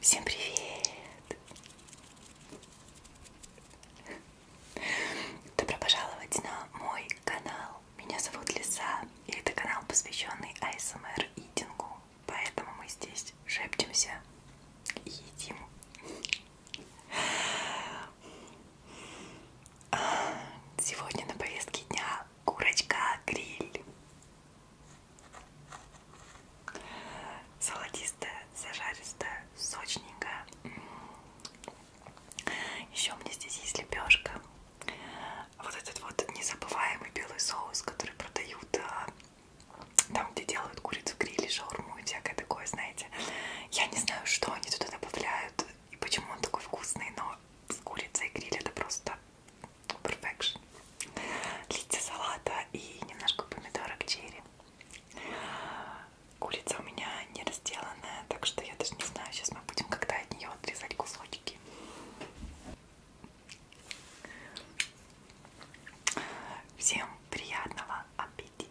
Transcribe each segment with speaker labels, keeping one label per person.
Speaker 1: Всем привет! Добро пожаловать на мой канал. Меня зовут Лиса, и это канал, посвященный ASMR Идингу. Поэтому мы здесь шепчемся и едим. Сегодня на повестке дня курочка гриль. Золотистая, зажаристая, сочненькая. Еще у меня здесь есть лепешка. Вот этот вот незабываемый белый соус, который продают а, там, где делают курицу гриль, шаурму и всякое такое, знаете. Я не знаю, что они туда добавляют и почему он такой вкусный, но с курицей гриль это просто Perfection. Листья салата и немножко помидорок черри. Курица у меня не разделанная, так что я даже не знаю, сейчас мы будем когда от нее отрезать кусочки. Всем приятного аппетита!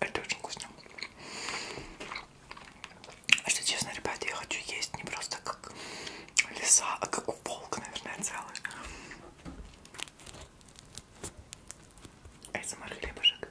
Speaker 1: Это очень вкусно. Что честно, ребята, я хочу есть не просто как лиса, а как волк, наверное, целый. Эсмар хлебушек.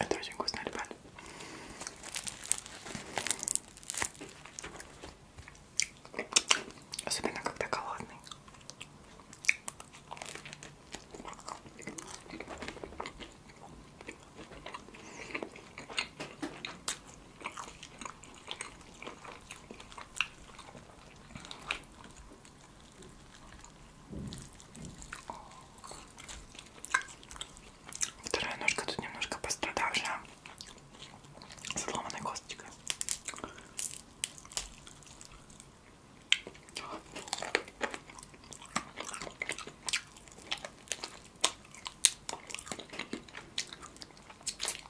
Speaker 1: Это очень вкусно, ребят. Особенно когда голодный. Вторая ножка тут немножко пострадавшая, сломанной косточкой.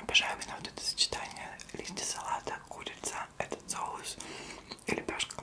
Speaker 1: Обожаю именно вот это сочетание листья салата, курица, этот соус и лепешка.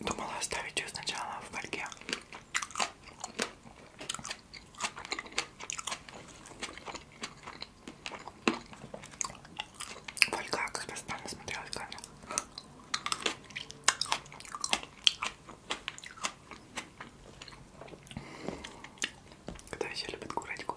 Speaker 1: Думала оставить ее сначала в фольге. Фольга как-то странно смотрелась камера. Кто еще любит курочку?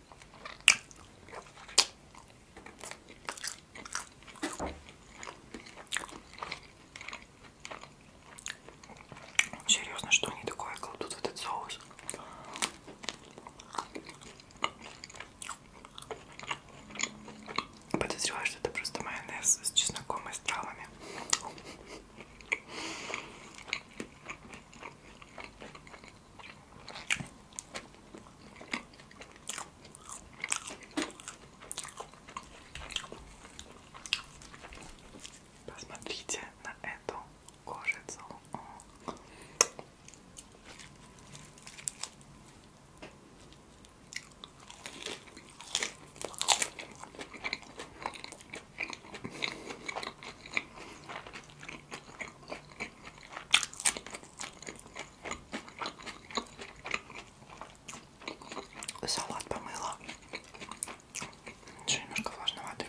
Speaker 1: Серьезно, что они такое кладут в этот соус? Подозреваю, что это просто майонез с чесноком и с травами. Посмотрите на эту кожицу. Салат помыла. Еще немножко влажноватый.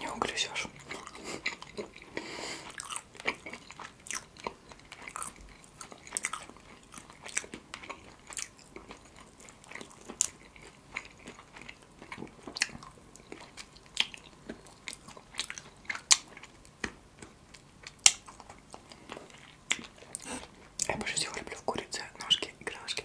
Speaker 1: Не угрызешь. Я больше всего люблю в курице ножки и крылышки.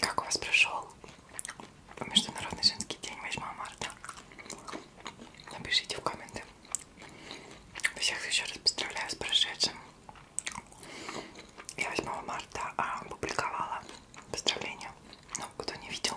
Speaker 1: Как у вас прошел Международный женский день 8 марта? Напишите в комменты. Всех еще раз поздравляю с прошедшим. Я 8 марта а, опубликовала поздравления. Ну, кто не видел.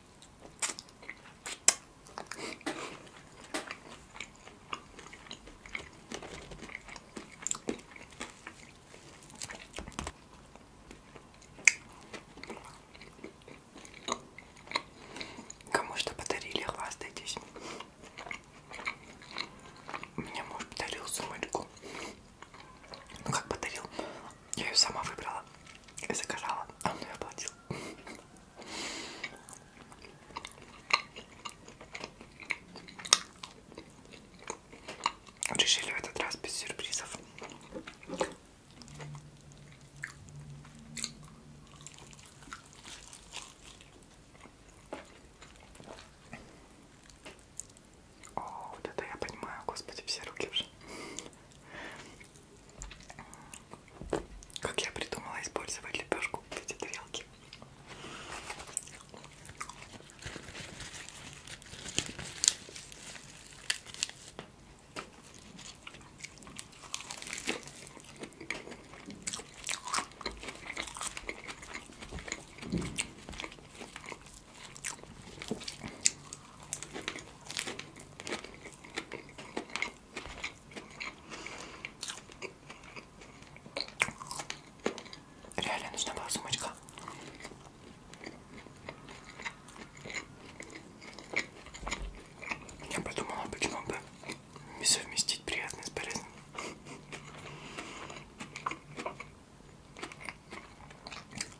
Speaker 1: Кому что подарили, хвастайтесь. Мне муж подарил сумочку. Ну как подарил? Я ее сама выбрала и заказала, а он ее оплатил. Решили в этот раз без сюрпризов. О, вот это я понимаю, господи, все руки уже. Как я придумала использовать лепешку в эти тарелки. Реально нужна была сумочка. Я подумала, почему бы не совместить приятное с полезным.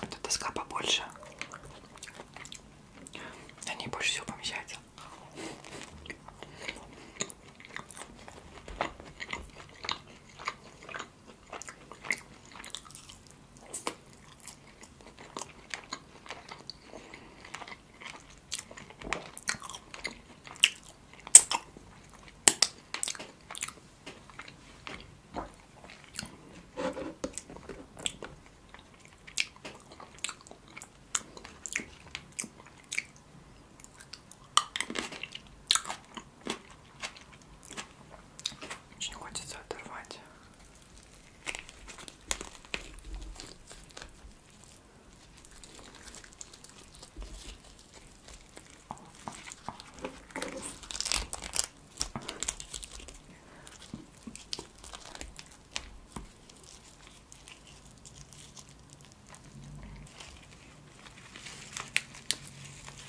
Speaker 1: Это доска побольше. На ней больше всего помещается. Очень хочется оторвать.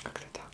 Speaker 1: Как-то так.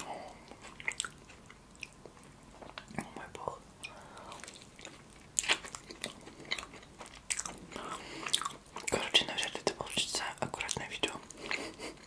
Speaker 1: О мой бог. Короче, наверное, это получится аккуратное видео.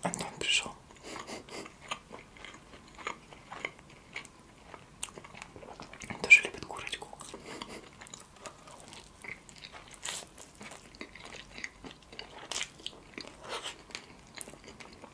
Speaker 1: Антон ну, пришел. Он тоже любит курочку.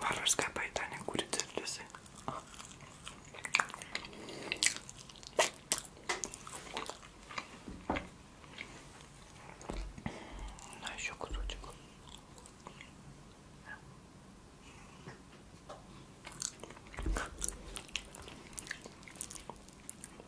Speaker 1: Варварское поедание курицы в лесы. На еще кусочек.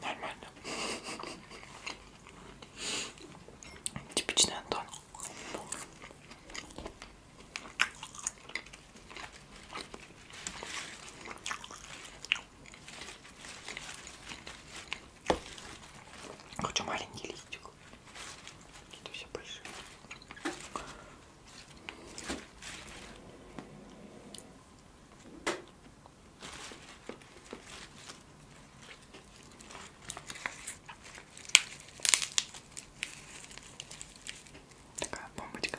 Speaker 1: Нормально. Типичный Антон. Хочу маленький листик. Какие-то все большие. Такая бомбочка.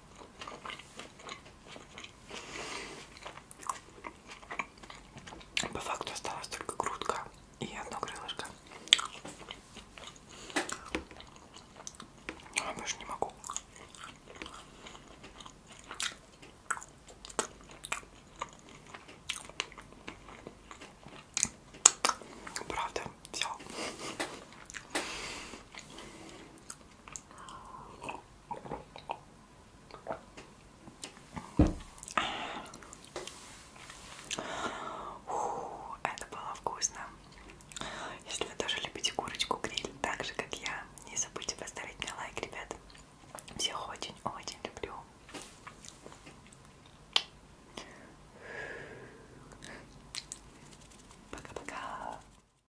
Speaker 1: По факту осталась только грудка и одно крылышко. Я больше не могу. Правда, взял. Фу, это было вкусно. Если вы тоже любите курочку гриль, так же как я, не забудьте поставить мне лайк, ребят. Всех очень-очень люблю. Пока-пока.